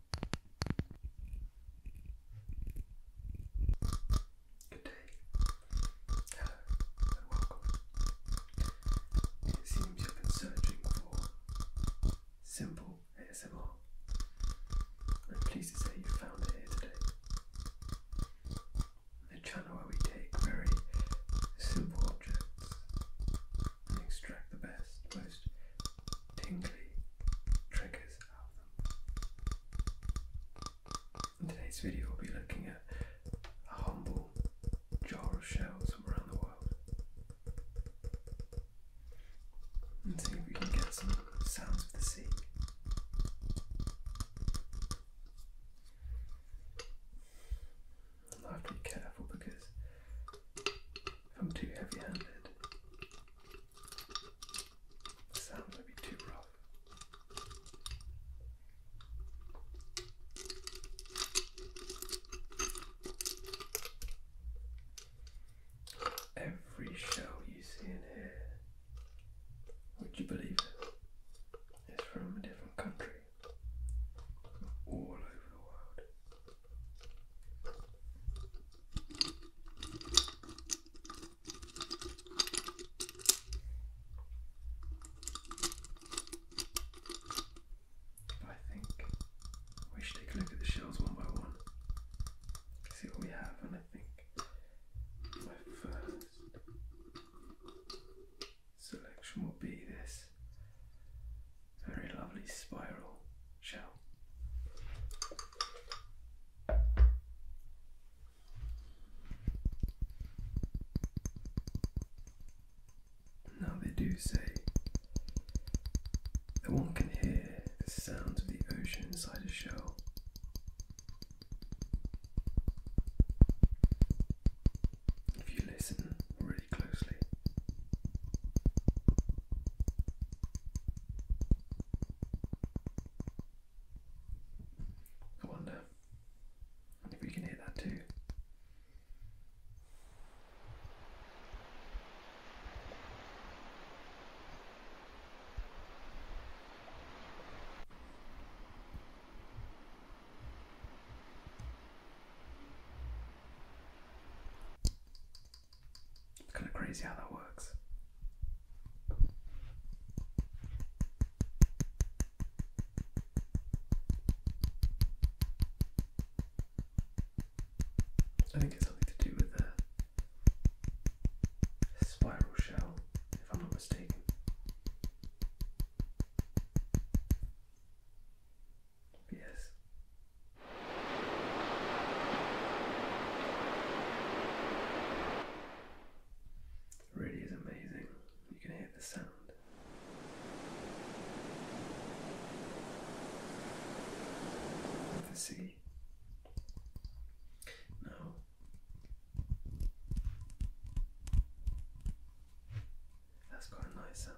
Good day. Hello and welcome. It seems you've been searching for simple ASMR. I'm pleased to say you found it here today. The channel where we take very simple objects and extract the best, most tingly triggers out in today's video we'll be looking at a humble jar of shells from around the world and see if we can get some sounds of the sea. I have to be careful because if I'm too heavy handed, Every shell you see in here, would you believe it, is from a different country. all over the world. I think we should take a look at the shells one by one, see what we have, and I think my first selection will be this very lovely spiral shell. Now they do say that one can hear the sounds of the ocean inside a shell. If you listen really closely. I wonder if we can hear that too. It's kind of crazy how that works. I think it's something to do with the spiral shell, if I'm not mistaken. Yes. It really is amazing. You can hear the sound. Of the sea. Now that's a nice sound.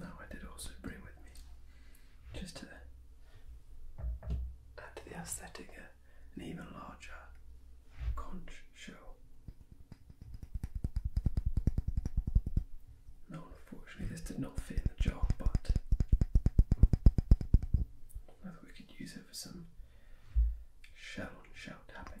Now I did also bring with me, just to add to the aesthetic, uh, an even larger conch shell. No, unfortunately, this did not fit in the jar, but we could use it for some shell on shell tapping.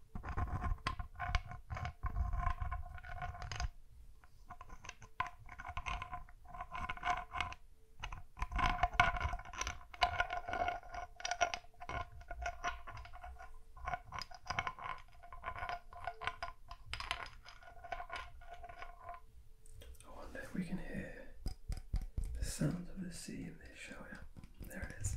I wonder if we can hear the sounds of the sea in this, shower. There it is.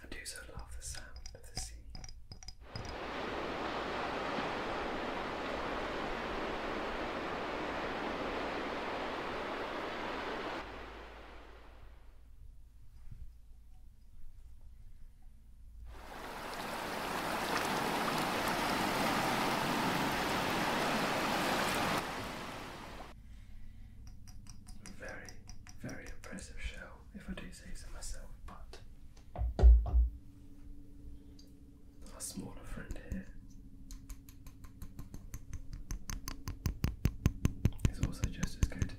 I do so love the sound of the sea. Very, very impressive show, if I do say so myself, but our smaller friend here is also just as good.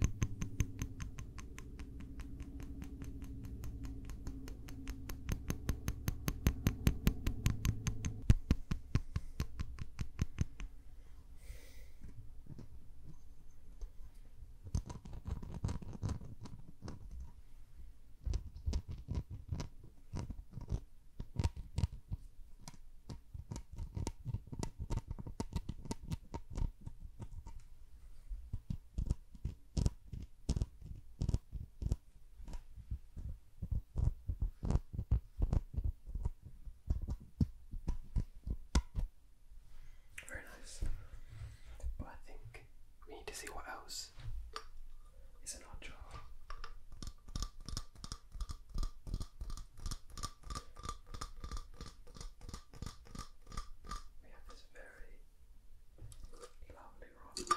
Very nice. But I think we need to see what else it's an odd job. We have this very lovely, weird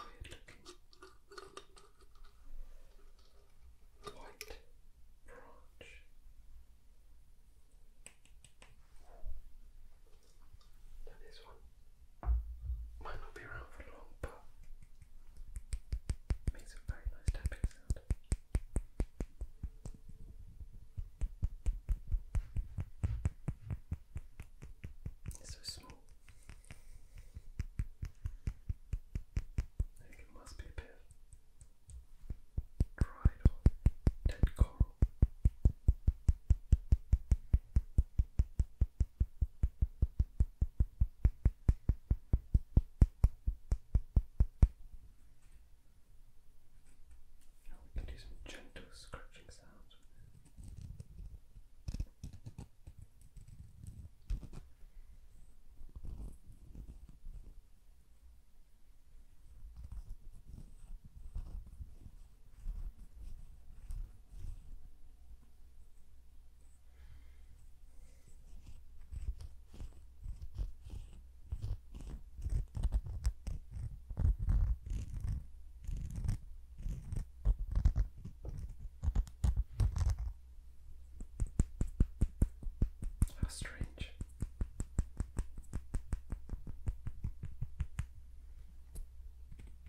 looking white branch. Now this one might not be around for long, but makes a very nice tapping sound. It's so small. I think it must be a bit dried or dead coral. Now we can do some gentle scratching sounds with it. Now how strange. I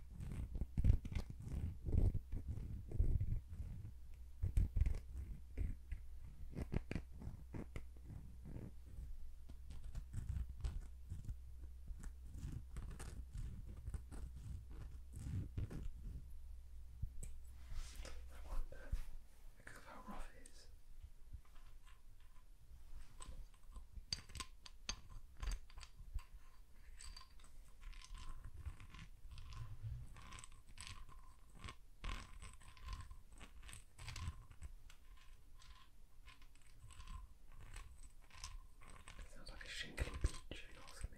wonder because of how rough it is. Sounds like a shingly beach, if you ask me.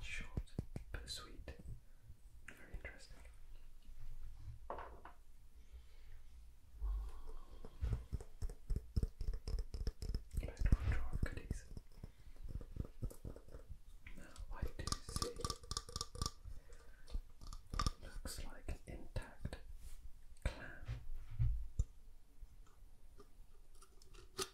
Short but sweet. Very interesting. Back to our drawer Now I do see looks like an intact clam. There it is.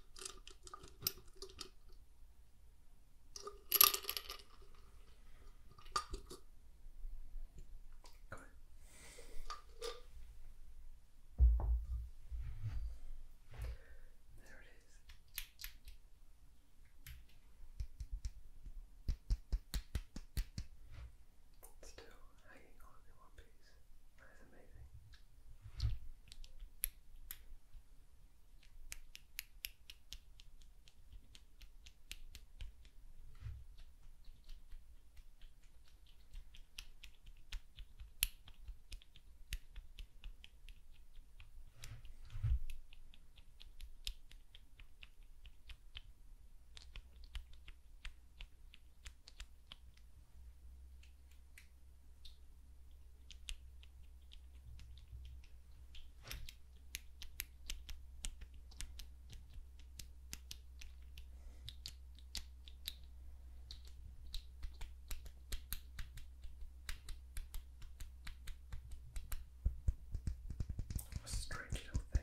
Still hanging on in one piece. That is amazing. A strange little thing.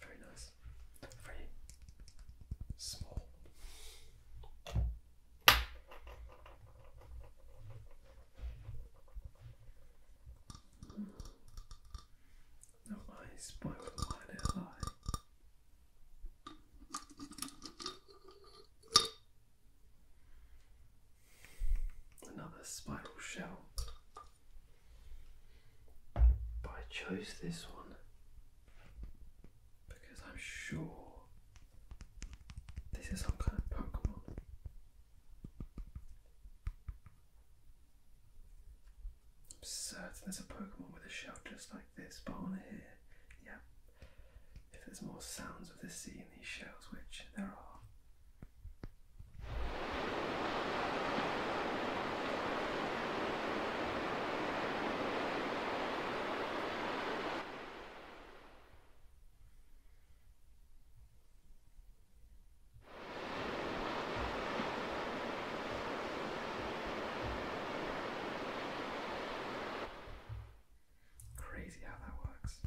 Very nice. Very small. No eyes, why would I lie? Another spiral shell. But I chose this one because I'm sure this is some kind of Pokemon. I'm certain there's a Pokemon with a shell just like this, but on here, yeah if there's more sounds of the sea in these shells, which there are. Crazy how that works.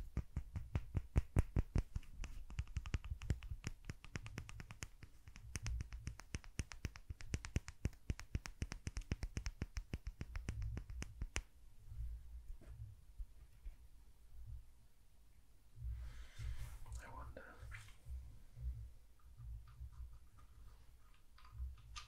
I wonder.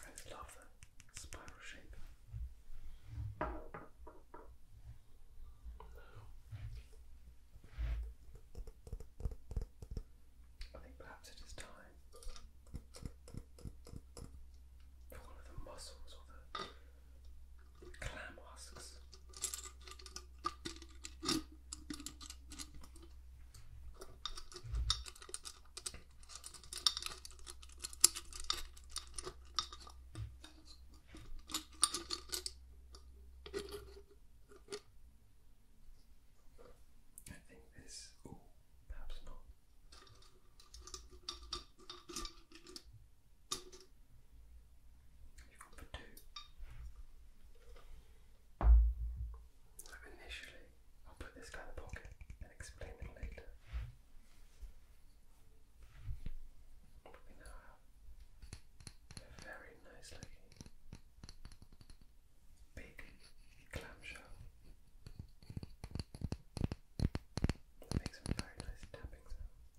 I love the spiral shape. I think perhaps it is time for one of the mussels or the clam husks. I think this, perhaps not. You've got for two. initially, I'll put this guy in the pocket and explain it later. very nice big clamshell makes a very nice tapping sound.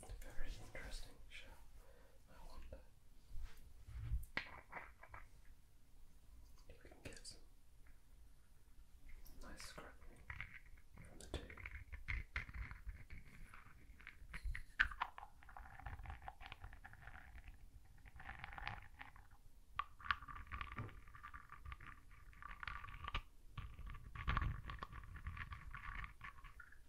very interesting show, I wonder if we can get some nice scratching from the two.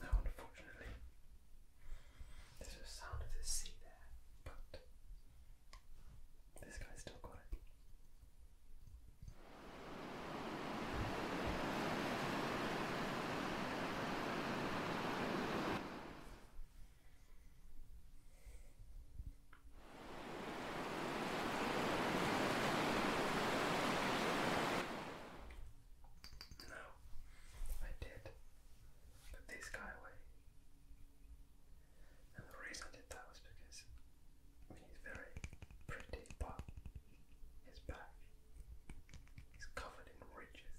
Now, unfortunately, there's a sound of the sea there, but this guy's still got no, I did put this guy And the reason I did that was because he's very pretty, but his back is covered in ridges.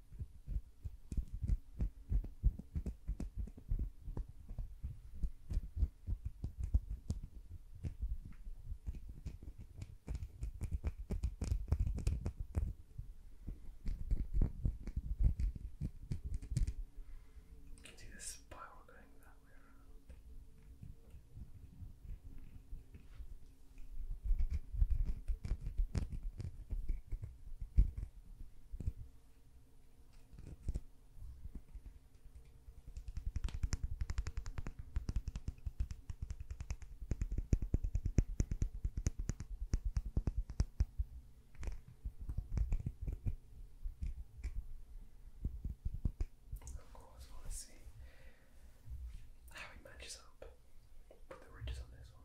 You can see this spiral going that way around. Of course, want to see how he matches up. Put the ridges on this one.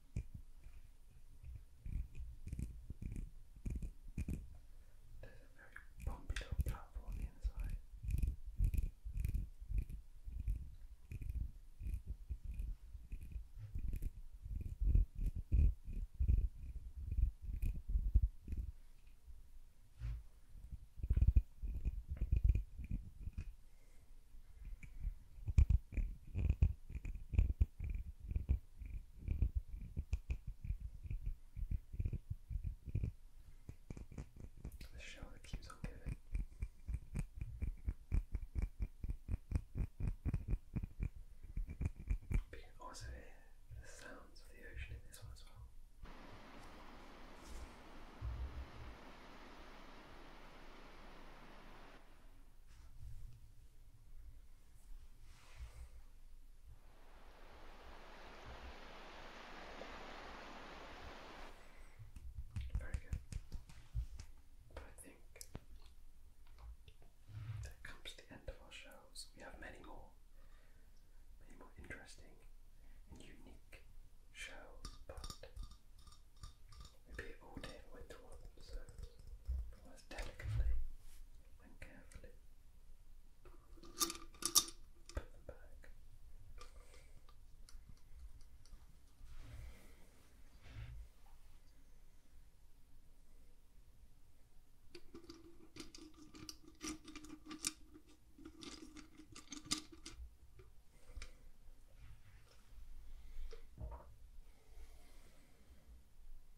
There's a very bumpy little platform on the inside. The show that keeps on giving. But you can also hear the sounds of the ocean in this one as well. Very good. But I think that comes to the end of our shows. We have many more, many more interesting and unique shows, Maybe it all did went towards delicately and carefully. Put them back.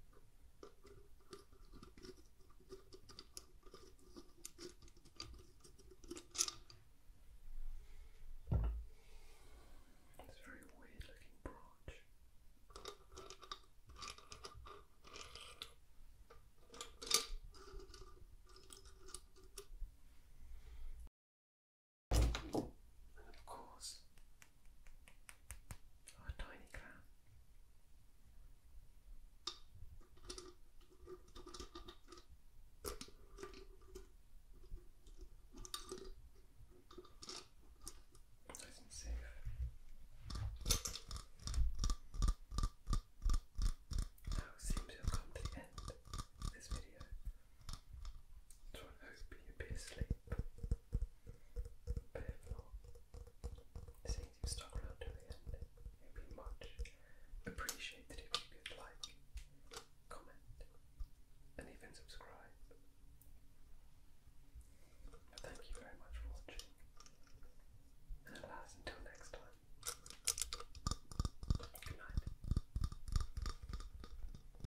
It's a very weird looking branch. And of course, our oh, tiny clown. Nice and safe. Now seems to come to the end of this video. So I hope you'll be asleep. But if not, seeing you to the end, it'd be much appreciated if you could like, comment, and even subscribe. Thank you very much for watching. And until next time. Good